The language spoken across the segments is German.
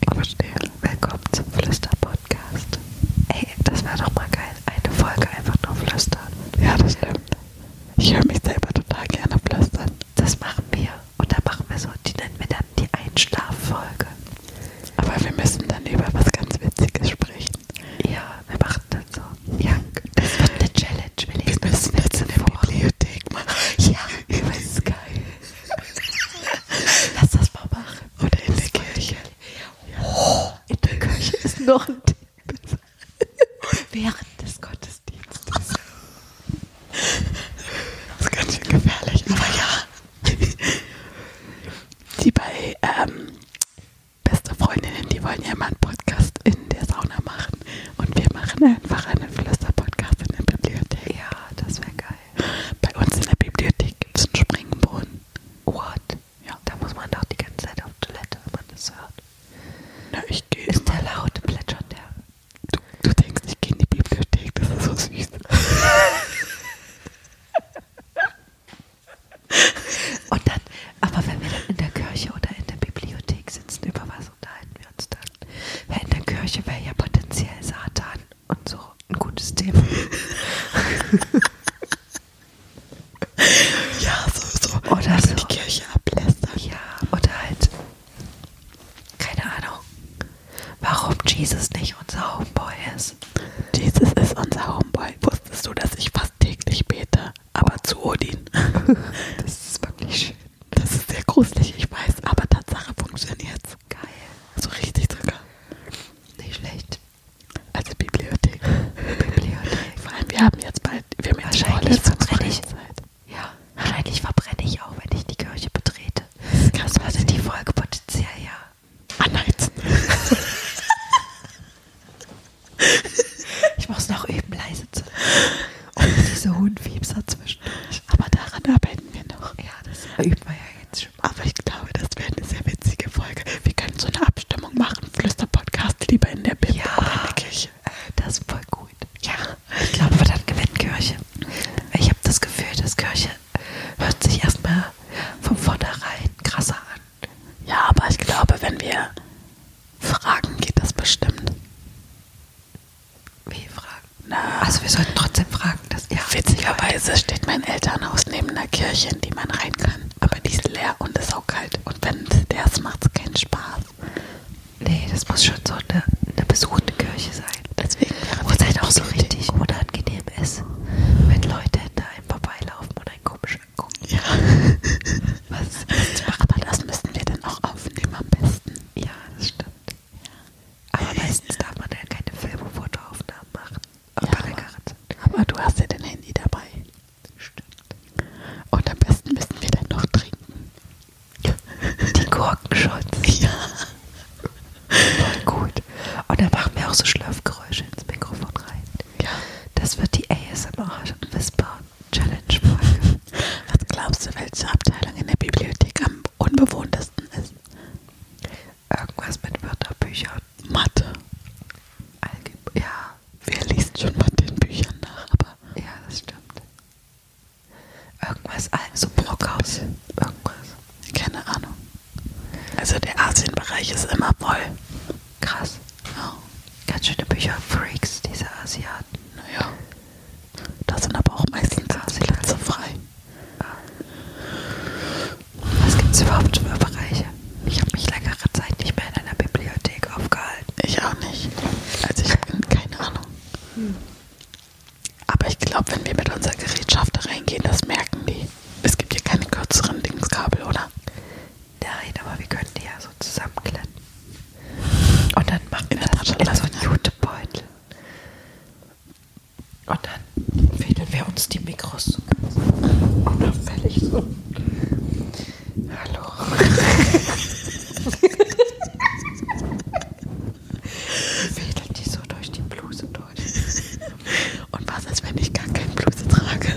Ich verstehe. Willkommen zum Flüster-Podcast. Ey, das wäre doch mal geil. Eine Folge einfach nur flüstern. Ja, das stimmt. Ich höre mich selber total gerne flüstern. Das machen wir. Und dann machen wir so, die nennen wir dann die Einschlaffolge. Aber wir müssen dann über was ganz Witziges sprechen. Ja, wir machen das so. Ja, das wird eine Challenge. Wir, wir müssen jetzt in der vor. Bibliothek machen. Ja, über Sky. Lass das mal machen. Oder in der Kirche. Oh, in der Kirche ist noch ein Tipp. Während des Gottesdienstes. Das ist ganz schön gefährlich, aber ja. Die bei ähm, Beste Freundinnen, die wollen ja mal einen Podcast in der Sauna machen. Und wir machen einfach einen Flüster-Podcast in der Bibliothek. Ja, das wäre geil. Bei uns in der Bibliothek gibt es einen Springbrunnen. What? Ja. Da muss man doch die ganze Zeit auf Toilette, wenn man das hört. Na, ich gehe. Ist der laut, plätschert der? Du, du denkst, ich gehe in die Bibliothek, das ist so süß. und dann, aber wenn wir dann in der Kirche oder in der Bibliothek sitzen, über was unterhalten wir uns dann? Weil in der Kirche wäre ja potenziell Satan und so ein gutes Thema. ja, so, so. Oder so. die Kirche ablästern. Ja, oder halt, keine Ahnung, warum Jesus nicht unser Homeboy ist. Jesus ist unser Homeboy. Wusstest du, dass ich fast täglich bete, aber zu Odin? das ist wirklich schön. Das ist sehr gruselig, ich weiß, aber Tatsache funktioniert's. Geil. So richtig sogar. Nicht schlecht. Also Bibliothek. Bibliothek. Vor allem, wir haben jetzt bald, wir haben jetzt Wahrscheinlich verbrenne ich. Ja, wahrscheinlich verbrenne ich auch, wenn ich die Kirche betrete. Das, das hatte sein. die Folge potenziell ja. Anheizen. ich muss noch üben, leise zu. Und diese Hundfiebs hat zwischendurch. Aber daran arbeiten wir noch. Ja, das üben wir ja jetzt schon. Mal. Aber ich glaube, das wäre eine sehr witzige Folge. Wir können so eine Abstimmung machen. Flüster-Podcast lieber in der Bibel ja, oder in der Kirche. Äh, das ist voll gut. Ja, ich glaube, wir dann gewinnt Kirche. Ich habe das Gefühl, dass Kirche hört sich erstmal von vornherein krasser an. Ja, aber ich glaube, wenn wir fragen, geht das bestimmt. Wie fragen? Na, also wir sollten trotzdem fragen, dass ja. Witzigerweise steht mein Elternhaus neben einer Kirche, in die man rein kann. Aber die ist leer und ist auch kalt. Und wenn es leer ist, macht es keinen Spaß. Nee, das muss schon so eine, eine besuchte Kirche sein. Deswegen wäre Wo es halt auch so richtig unangenehm ist, wenn Leute hinter einem vorbeilaufen und einen komisch angucken. Ja. Was? was macht man? Das müssten wir dann auch aufnehmen am besten. Ja, das stimmt. Aber meistens darf man ja keine Film- und Fotoaufnahmen machen. Auch ja, bei der Karte. Aber du hast ja dein Handy dabei. Stimmt. Und am besten müssen wir dann noch trinken. Die Gurkenschutz. Ja. Voll gut. Und dann machen wir auch so Schlürfgeräusche ins Mikrofon rein. Ja. Das wird die ASMR-Whisper-Challenge-Folge. Was glaubst du, welche Abteilung in der Bibliothek am unbewohntesten ist? Irgendwas mit Wörterbüchern. Mathe. Algeb ja. Wer liest schon mal den Büchern nach? Aber ja, das stimmt. Irgendwas, also Brockhaus. Irgendwas. Keine Ahnung. Also der Asienbereich ist immer voll. Krass. Oh. Ganz schöne Bücherfreaks, diese Asiaten. Naja. Da sind aber auch meistens ah, die Plätze frei. Ah. Was gibt es überhaupt für Bereiche? Ich habe mich längere Zeit nicht mehr in einer Bibliothek aufgehalten. Ich auch nicht. Also ich habe keine Ahnung. Hm. Aber ich glaube, wenn wir mit unserer Gerätschaft da reingehen, das merken die. Es gibt hier keine kürzeren Dingskabel, oder? Der Rede, aber wir können die ja so zusammenklemmen. Und dann machen wir das in so einen Jutebeutel. Und dann fädeln wir uns die Mikros unauffällig so. Hallo. fädeln die so durch die Bluse durch. Und was ist, wenn ich gar keine Bluse trage?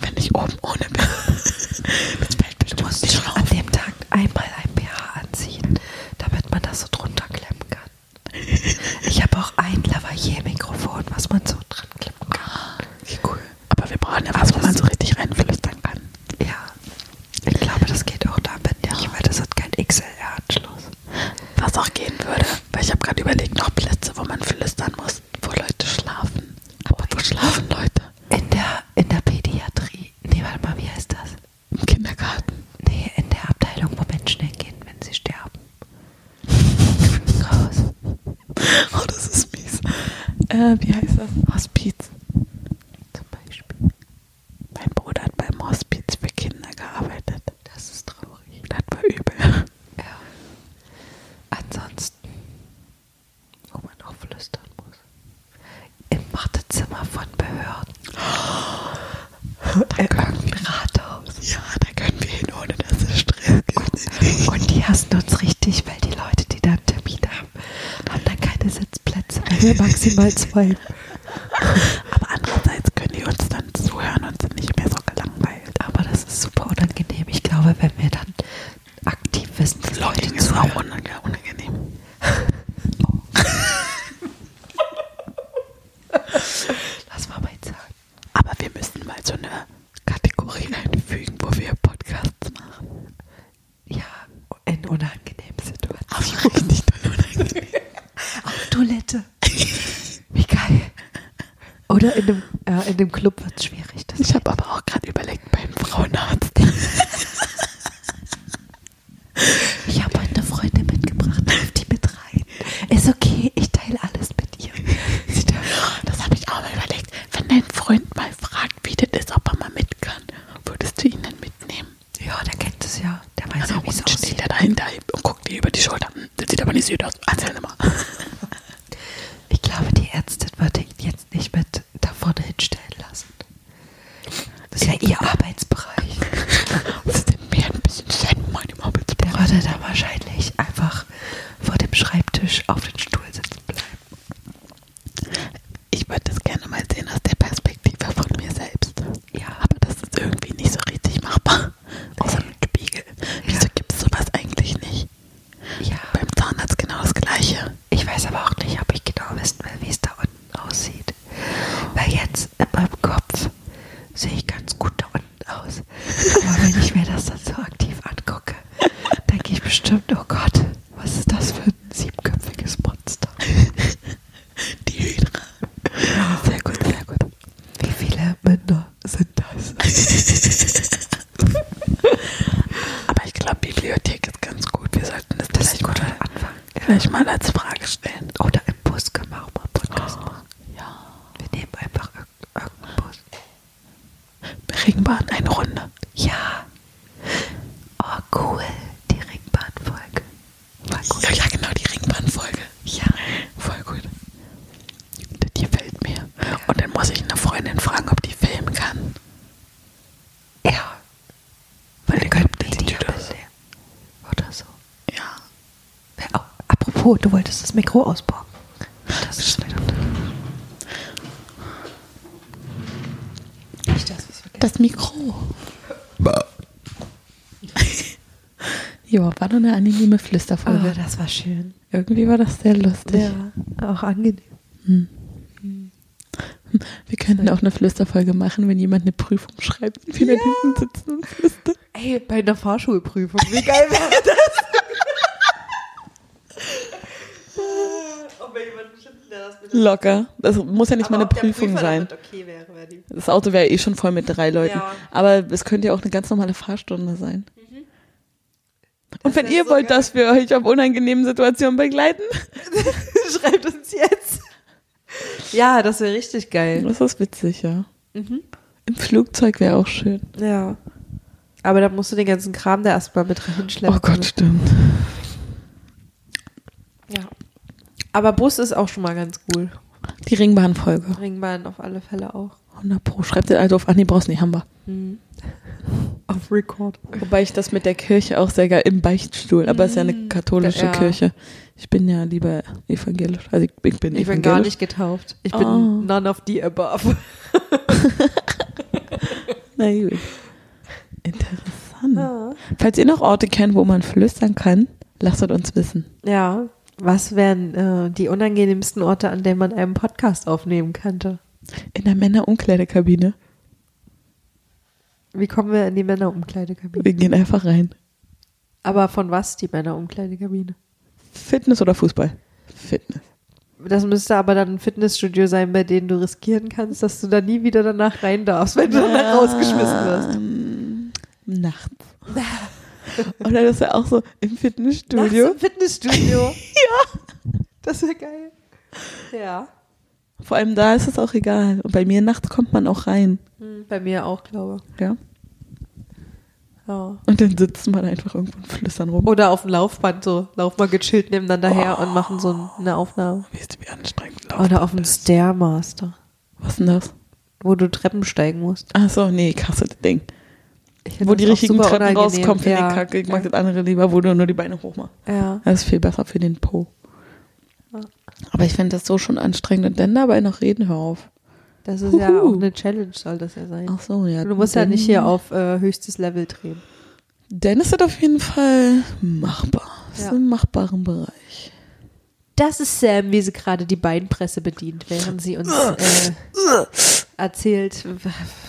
Wenn ich oben ohne bin? Das fällt bestimmt nicht auf. An dem Tag gesagt, einmal ein BH anziehen, damit man das so drunter klemmen kann. Ich habe auch ein Lavalier-Mikrofon, was man so dran klemmen kann. Wie cool. Aber wir brauchen ja was, Aber also wo man so richtig reinflüstern kann. Ja. Ich glaube, das geht auch damit ja. nicht, weil das hat kein XLR-Anschluss. Was auch gehen würde, weil ich habe gerade überlegt, noch Plätze, wo man flüstern muss, wo Leute schlafen. Aber wo schlafen Leute? In der, in der Pädiatrie die, nee, warte mal, wie heißt das? Im Kindergarten. Nee, in der Abteilung, wo Menschen hingehen, wenn sie sterben. Raus. Oh, das ist mies. Äh, wie heißt das? Hospiz. Zum Beispiel. Mein Bruder hat beim Hospiz für Kinder gearbeitet. Das ist traurig. Das war übel. Ja. Ansonsten wo man auch flüstern muss. Im Wartezimmer von Behörden. Oh, da äh, können wir Rathaus. Ja, da können wir hin, ohne dass es Stress gibt. Und die hassen uns richtig, weil die Leute, die da einen Termin haben, haben dann keine Sitzplätze. Also maximal zwei. Aber andererseits können die uns dann zuhören und sind nicht mehr so gelangweilt. Aber das ist super unangenehm. Ich glaube, wenn wir dann aktiv wissen, dass Leute ist zuhören. auch unangenehm. oh. Lass mal mal sagen. Aber wir müssen mal so eine Kategorie einfügen, wo wir Podcasts machen. Ja, in unangenehmen Situationen. Auf richtig unangenehm. Auf Toilette. Wie geil. Oder in dem, äh, in dem Club wird es schwer schwierig. Das ich habe aber auch gerade überlegt beim Frauenarzt. ich habe heute eine Freundin mitgebracht, darf die mit rein. Ist okay, ich teile alles mit ihr. das habe ich auch mal überlegt. Wenn dein Freund mal fragt, wie das ist, ob er mal mit kann, würdest du ihn dann mitnehmen? Ja, der kennt es ja. Der weiß also ja, ja wie es aussieht. steht er dahinter und guckt dir über die Schulter. Das sieht aber nicht süß aus. Erzähl mal. Ich glaube, die Ärztin würde ihn jetzt nicht mit da vorne hinstellen lassen. Das ist ja ihr Arbeitsbereich. das ist mir ein bisschen sein meinem Arbeitsbereich. Der würde da wahrscheinlich einfach vor dem Schreibtisch auf den Stuhl sitzen bleiben. Ich würde das gerne mal sehen aus der Perspektive von mir selbst. Ja. Aber das ist irgendwie nicht so richtig machbar. Außer mit Spiegel. Wieso ja. gibt es sowas eigentlich nicht? Ja. Beim Zahnarzt genau das Gleiche. Ich weiß aber auch nicht, ob ich genau wissen will, wie es da unten aussieht. Weil jetzt in meinem Kopf sehe ich ganz gut da unten aus. Aber wenn ich mir das dann so aktiv angucke, denke ich bestimmt, oh Gott, was ist das für ein siebenköpfiges Monster? Die Hydra. Sehr gut, sehr gut. Wie viele Münder sind das? Aber ich glaube, Bibliothek ist ganz gut. Wir sollten das, das vielleicht gut mal anfangen. Vielleicht mal als Frage stellen. Oder im Bus können wir auch mal Podcast oh, machen. Ja. Wir nehmen einfach ir irgendeinen Bus. Ringbahn eine Runde. Ja. Oh, cool. Die Ringbahnfolge. Ja, ja, genau, die Ringbahnfolge. Ja. Voll gut. Die fällt mir. Und dann muss ich eine Freundin fragen, ob die filmen kann. Ja. Weil die könnte die Oder so. Ja. Oh, apropos, du wolltest das Mikro ausbauen. Das ist Stimmt. Nicht das, was wir Das Mikro. ja, war doch eine angenehme Flüsterfolge. Oh, das war schön. Irgendwie war das sehr lustig. Ja, auch angenehm. Hm. Wir könnten auch eine Flüsterfolge machen, wenn jemand eine Prüfung schreibt und wir ja. da hinten sitzen und flüstern. Ey, bei einer Fahrschulprüfung, wie geil wäre das? Ob wir jemanden finden, der das mit Locker. Das muss ja nicht Aber mal eine Prüfung sein. Okay wäre, wäre das Auto wäre eh schon voll mit drei Leuten. Ja. Aber es könnte ja auch eine ganz normale Fahrstunde sein. Mhm. Und das wenn ihr so wollt, geil. dass wir euch auf unangenehmen Situationen begleiten, schreibt uns jetzt. Ja, das wäre richtig geil. Das ist witzig, ja. Mhm. Im Flugzeug wäre auch schön. Ja. Aber da musst du den ganzen Kram da erstmal mit reinschleppen. Oh Gott, stimmt. Ja. Aber Bus ist auch schon mal ganz cool. Die Ringbahn-Folge. Ringbahn auf alle Fälle auch. 100 Pro. Schreibt den also auf. Ach nee, brauchst nicht, haben wir. Mhm. Auf Record. Wobei ich das mit der Kirche auch sehr geil im Beichtstuhl, aber es ist ja eine hm. katholische ja. Kirche. Ich bin ja lieber evangelisch. Also ich, ich bin Ich bin gar nicht getauft. Ich bin oh. none of the above. Na gut. Interessant. Ja. Falls ihr noch Orte kennt, wo man flüstern kann, lasst es uns wissen. Ja, was wären äh, die unangenehmsten Orte, an denen man einen Podcast aufnehmen könnte? In der Männerumkleidekabine. Wie kommen wir in die Männerumkleidekabine? Wir gehen einfach rein. Aber von was die Männerumkleidekabine? Fitness oder Fußball? Fitness. Das müsste aber dann ein Fitnessstudio sein, bei dem du riskieren kannst, dass du da nie wieder danach rein darfst, wenn du danach rausgeschmissen wirst. Ähm, nachts. Oder das wäre auch so im Fitnessstudio. Nachts Im Fitnessstudio. ja. Das wäre geil. Ja. Vor allem da ist es auch egal. Und bei mir nachts kommt man auch rein. Hm, bei mir auch, glaube ich. Ja. Oh. Und dann sitzen man einfach irgendwo und flüstern rum. Oder auf dem Laufband so. Laufen wir gechillt nebeneinander oh. her und oh. machen so eine Aufnahme. Weißt du, wie anstrengend Laufband Oder auf dem Stairmaster. Was denn das? Wo du Treppen steigen musst. Ach so, nee, krasse Ding wo die richtigen Treppen unangenehm. rauskommen, finde ja. ich kacke. Ich mag das andere lieber, wo du nur die Beine hoch machst. Ja. Das ist viel besser für den Po. Aber ich finde das so schon anstrengend. Und dann dabei noch reden, hör auf. Das ist Huhu. ja auch eine Challenge, soll das ja sein. Ach so, ja. Du musst ja nicht hier auf äh, höchstes Level drehen. Dann ist das auf jeden Fall machbar. Das ja. ist im machbaren Bereich. Das ist Sam, wie sie gerade die Beinpresse bedient, während sie uns äh, erzählt,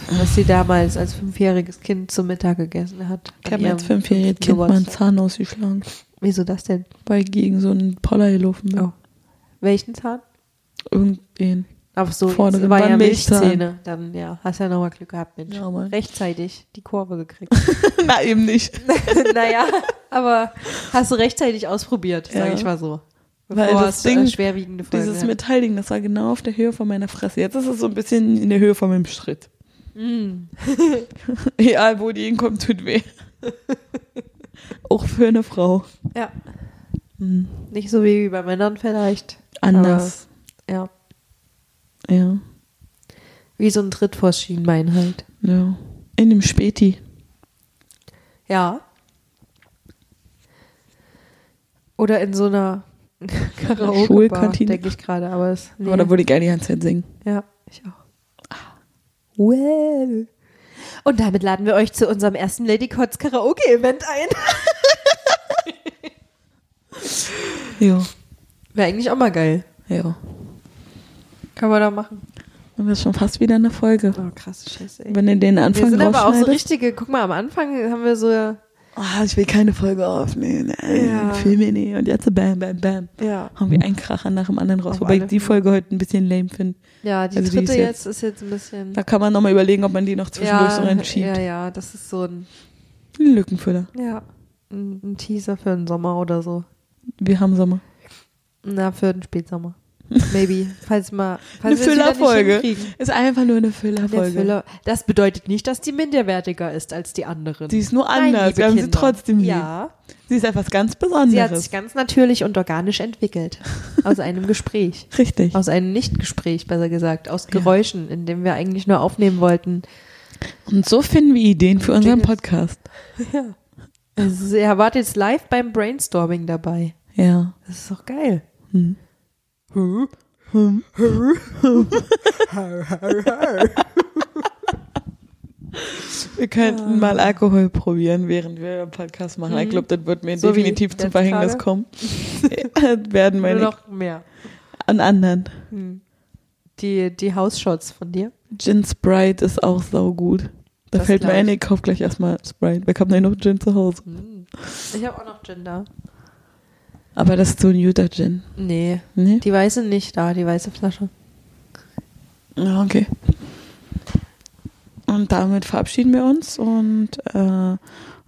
was sie damals als fünfjähriges Kind zum Mittag gegessen hat. Ich habe als fünfjähriges Kind mal einen Zahn ausgeschlagen. Wieso das denn? Weil ich gegen so einen Poller gelaufen bin. Oh. Welchen Zahn? Irgendwen. Ach so, Vorne das war ja Milchzähne. Dann ja, hast ja nochmal Glück gehabt, Mensch. Ja, rechtzeitig die Kurve gekriegt. Na, eben nicht. naja, aber hast du rechtzeitig ausprobiert, sage ja. ich mal so. Bevor Weil das äh, Ding, schwerwiegende Folgen dieses hat. Metallding, das war genau auf der Höhe von meiner Fresse. Jetzt ist es so ein bisschen in der Höhe von meinem Schritt. Mm. Egal, wo die hinkommt, tut weh. Auch für eine Frau. Ja. Hm. Nicht so wie bei Männern vielleicht. Anders. Aber, ja. Ja. Wie so ein Tritt vors Schienbein halt. Ja. In dem Späti. Ja. Oder in so einer Karaoke-Bar, denke ich gerade. Aber, es, nee. Oh, aber da würde ich gerne die ganze Zeit singen. Ja, ich auch. Well. Und damit laden wir euch zu unserem ersten Lady Cots Karaoke-Event ein. ja. Wäre eigentlich auch mal geil. Ja. Kann man da machen. Und das ist schon fast wieder eine Folge. Oh, krass, scheiße. Ey. Wenn ihr den Anfang Wir sind aber auch so richtige, guck mal, am Anfang haben wir so. Ah, oh, ich will keine Folge aufnehmen. Nein, ja. Filme nee. Und jetzt bam, bam, bam. Ja. Haben wir einen Kracher nach dem anderen raus. Auf Wobei ich die Folge heute ein bisschen lame finde. Ja, die also dritte die ist jetzt, ist jetzt ein bisschen. Da kann man nochmal überlegen, ob man die noch zwischendurch ja, so reinschiebt. Ja, ja, das ist so ein. Lückenfüller. Ja. Ein, ein Teaser für den Sommer oder so. Wir haben Sommer. Na, für den Spätsommer. Maybe. Falls mal. Falls eine Füllerfolge. Ist einfach nur eine Füllerfolge. Füller. Das bedeutet nicht, dass die minderwertiger ist als die anderen. Sie ist nur anders. Nein, Wir haben Kinder. sie trotzdem lieb. Ja. Sie ist etwas ganz Besonderes. Sie hat sich ganz natürlich und organisch entwickelt. Aus einem Gespräch. Richtig. Aus einem Nichtgespräch, besser gesagt. Aus Geräuschen, ja. in dem wir eigentlich nur aufnehmen wollten. Und so finden wir Ideen für unseren Podcast. Ja. Also, er war jetzt live beim Brainstorming dabei. Ja. Das ist doch geil. Hm. Hm. Hm. Wir könnten ah. mal Alkohol probieren, während wir einen Podcast machen. Mhm. Ich hm. glaube, das wird mir so definitiv zum Verhängnis Frage? kommen. Äh, werden meine Nur noch mehr. An anderen. Mhm. Die, die House Shots von dir? Gin Sprite ist auch saugut. Da das fällt mir ein, ich kaufe gleich erstmal Sprite. Wir haben ja noch Gin zu Hause. Hm. Ich habe auch noch Gin da. Aber das ist so ein Utah Gin. Nee. nee. Die weiße nicht da, die weiße Flasche. Ja, ah, okay. Und damit verabschieden wir uns und äh,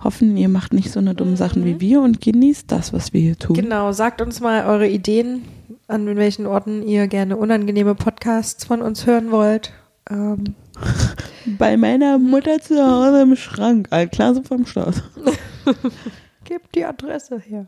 hoffen, ihr macht nicht so eine dumme Sachen mhm. wie wir und genießt das, was wir hier tun. Genau, sagt uns mal eure Ideen, an welchen Orten ihr gerne unangenehme Podcasts von uns hören wollt. Ähm. Bei meiner Mutter zu Hause im Schrank. Altklasse vom Start. Gib die Adresse her.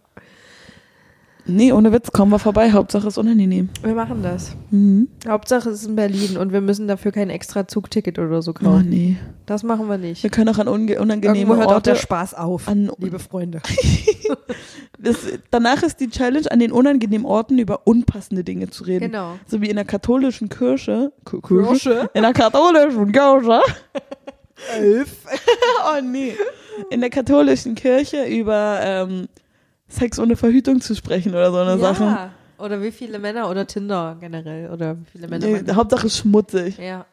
Nee, ohne Witz, kommen wir vorbei. Hauptsache ist unangenehm. Wir machen das. Mhm. Hauptsache ist in Berlin und wir müssen dafür kein extra Zugticket oder so oh, kaufen. Oh, nee. Das machen wir nicht. Wir können auch an unangenehme Irgendwo hört Orte. auch der Spaß auf, liebe Freunde. Das, danach ist die Challenge, an den unangenehmen Orten über unpassende Dinge zu reden. Genau. So wie in der katholischen Kirche. K Kirche? In der katholischen Kirche. Elf. oh nee. In der katholischen Kirche über ähm, Sex ohne Verhütung zu sprechen oder so eine ja. Sache. Oder wie viele Männer oder Tinder generell oder wie viele Männer. Nee, Hauptsache schmutzig. Ja.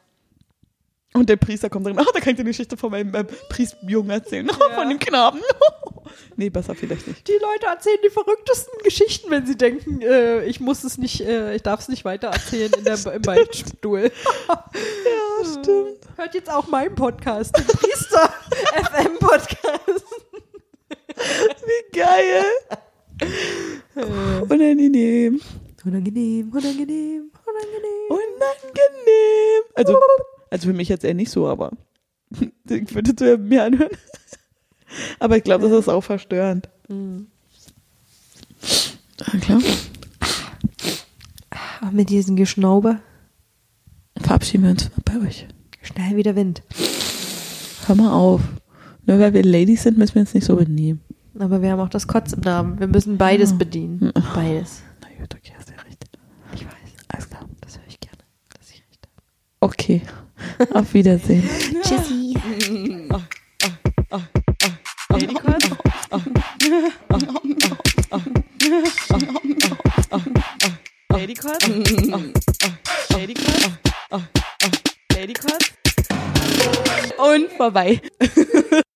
Und der Priester kommt drin, ah, oh, da kann ich dir eine Geschichte von meinem äh, Priestjungen erzählen, ja. von dem Knaben. nee, besser vielleicht nicht. Die Leute erzählen die verrücktesten Geschichten, wenn sie denken, äh, ich muss es nicht, äh, ich darf es nicht weiter erzählen in der, im Waldstuhl. ja, stimmt. Äh, hört jetzt auch meinen Podcast, den Priester FM Podcast. Wie geil. Äh. unangenehm. Unangenehm, unangenehm. Unangenehm. Unangenehm. Unangenehm. Also, also für mich jetzt eher nicht so, aber ich würde es mir anhören. Aber ich glaube, das ist auch verstörend. Mhm. Ja, ah, klar. Ach, mit diesem Geschnauber. Verabschieden wir uns bei euch. Schnell wieder Wind. Hör mal auf. Nur weil wir Ladies sind, müssen wir uns nicht so benehmen. Aber wir haben auch das Kotz im Namen. Wir müssen beides ah. bedienen. Ah. Beides. Na gut, okay, hast ja recht. Ich weiß. Alles klar. Das höre ich gerne, dass ich recht habe. Okay. Auf Wiedersehen. Tschüssi. Oh, oh, oh, oh. Ladycut? Oh, oh, oh, oh, oh. Ladycut? Oh, oh. Ladycut? Oh, oh. Ladycut? Und vorbei.